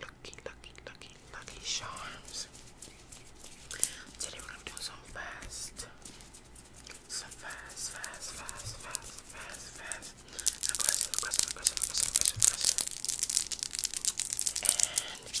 Lucky, lucky, lucky, lucky charms. Today we're gonna do some fast, some fast, fast, fast, fast, fast, fast. And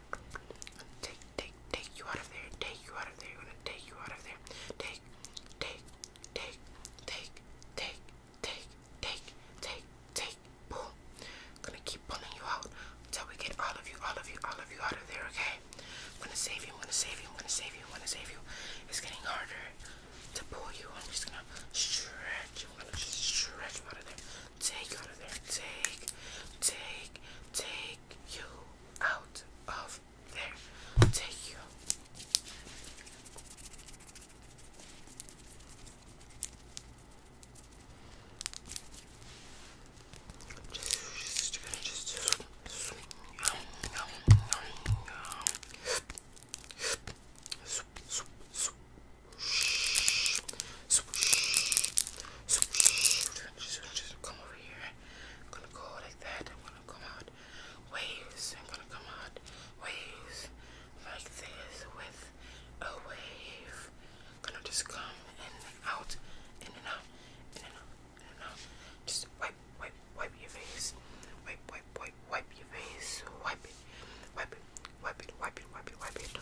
Take, take, take you out of there. Take you out of there. gonna take you out of there. Take, take, take, take, take, take, take, take, take. Boom. Gonna keep pulling you out until we get all of you, all of you, all of you out of there. Okay. I'm gonna save you. I'm gonna save you. I'm gonna save you. I'm gonna save you. It's getting harder to pull you. I'm just gonna stretch. I'm gonna stretch you out of there. Take you out of there. Take, take, take you out of there. Take you. Just, just, just, just. Come over here. I'm gonna go like that. I'm gonna come out waves. I'm gonna come out waves like this with a wave. I'm gonna just come in and out, in and out, in and out, in and out. Just wipe, wipe, wipe your face. Wipe, wipe, wipe, wipe your face. Wipe it, wipe it, wipe it, wipe it, wipe it, wipe it. Wipe it.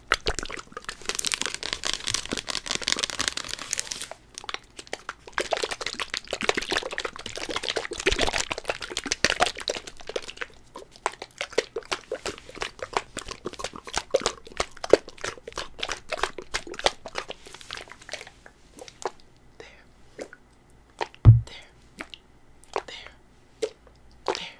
There. There. There. There.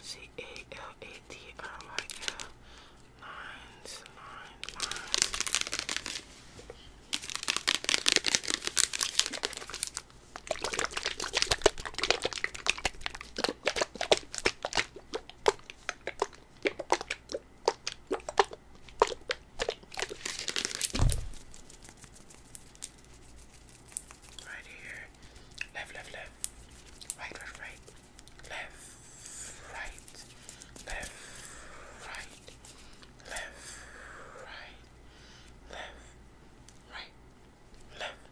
is C A L A T R Y L. Right here here. Left, left, left. Right, right, right. Left, right. Left, right. Left, right. Left, right. Left,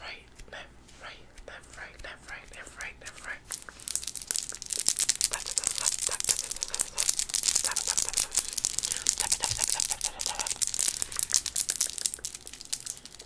right. Left, right. Left, right. Left, right. Left, right. Left, right. Left, right.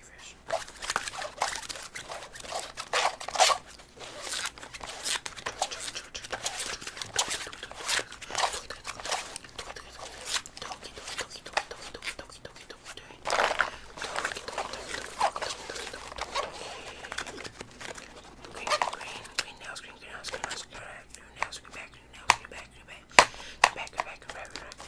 fish. Green, green, green nails, green nails, green nails, green nails, green back, green nails, green back, green back, green back, green back, green back, green back.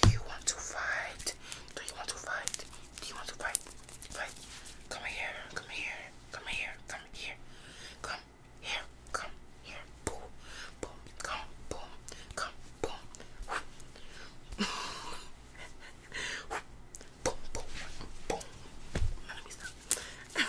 do you want to fight? Do you want to fight? Do you want to fight? Fight. Come here. Come here. Come here. Come here. Come here. Come here. Boom. Boom. Come. Boom. Come. Boom. boom. Boom. Boom. Boom. Let me stop.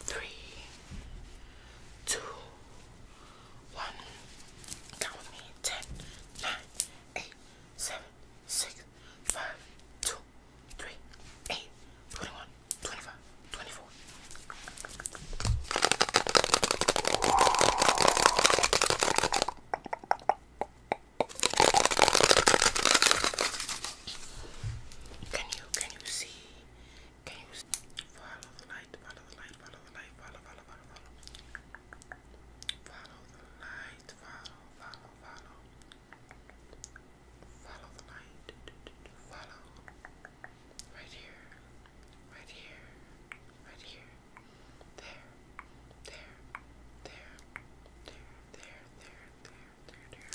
three, two, one. Count with me. Ten, nine, eight, seven, six, five, two, three, eight, twenty-one, twenty-five, twenty-four. Can you can you see? Can you follow the light? Follow the light, follow the light, follow, follow, follow, follow. Follow the light, follow, follow, follow. Follow the light, follow. Right here, right here, right here. there, there, there, there, there, there, there, there.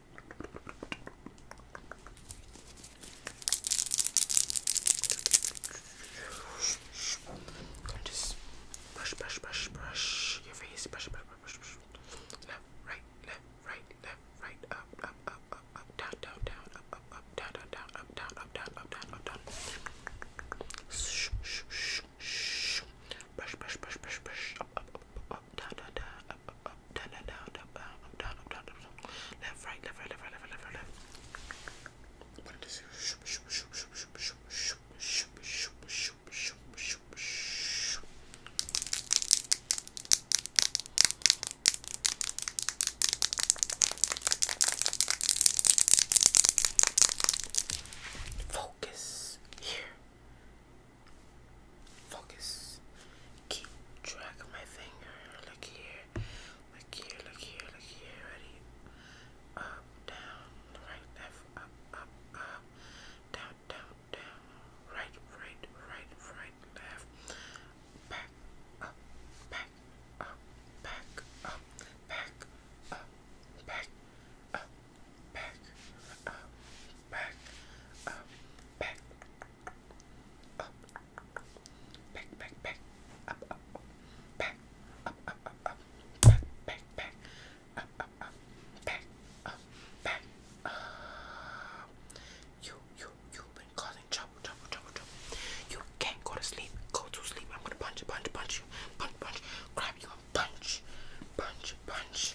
And just brush, brush, brush, brush your face. Brush, brush, brush, brush, Left, right, left, right, left, right, up, up, up, up, up, down, down, down, up, up, up, down, down, down, up, down, up, down, up, down, up, down. Shh, shh, shh, shh. Brush, brush, brush, brush, brush. Up, up, up, up, down, down, down, up, up, left, right, left, right, left, right, left, right, left, Focus here. Focus. Keep track of my finger. Look here. Look here. Look here. Look here. Ready? Up, down, right, left, up, up, up, down, down, down, right, right, right, right, left, back, up, back, up, back, up, back, up, back, up, back, up, back, up, back, back, back, up, up, up, back, up, up, up, up, back, back, back, up, up, up, back, up, back, up. You, you, you've been causing trouble, trouble, trouble, trouble. You can't go to sleep. Go to sleep. I'm gonna punch, punch, punch you, punch, punch, grab you and punch, punch, punch.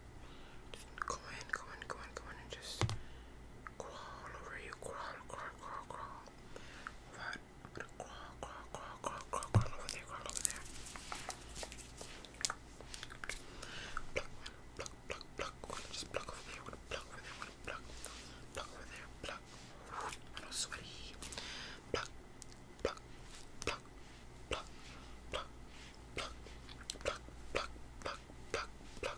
Just go in, go in, go in, go in, and just crawl over you. Crawl, crawl, crawl, crawl. I'm gonna crawl, crawl, crawl, crawl, crawl, crawl over there, crawl over there. Pluck, pluck, pluck, pluck. to just pluck over there. Wanna pluck over there. Wanna pluck, pluck over there. Pluck. I'm not sweaty. Pluck, pluck, pluck, pluck, pluck, pluck, pluck, pluck, pluck, pluck, pluck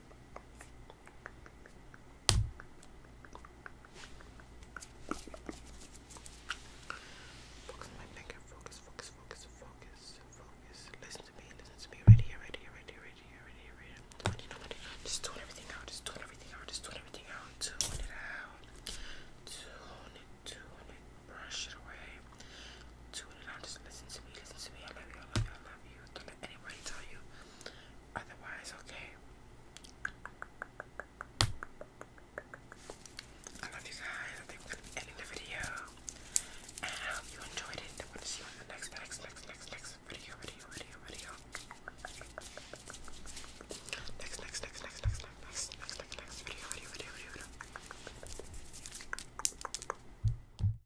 Focus on my finger, focus, focus, focus, focus, focus. Listen to me, listen to me, right here, right here, right here, right here, right Just tune everything out, just tune everything out, just tune everything out, tune it out. Tune it, tune it, brush it away. Tune it out, just listen to me, listen to me. I love you, I love you, I love you you. Don't let anybody tell you otherwise, okay? I love you guys. I think we're gonna end the video. I hope you enjoyed it. I want to see you in the next, next, next, next, next video, video, video, video. Next, next, next, next, next, next, next, next, next, video, video, video. video.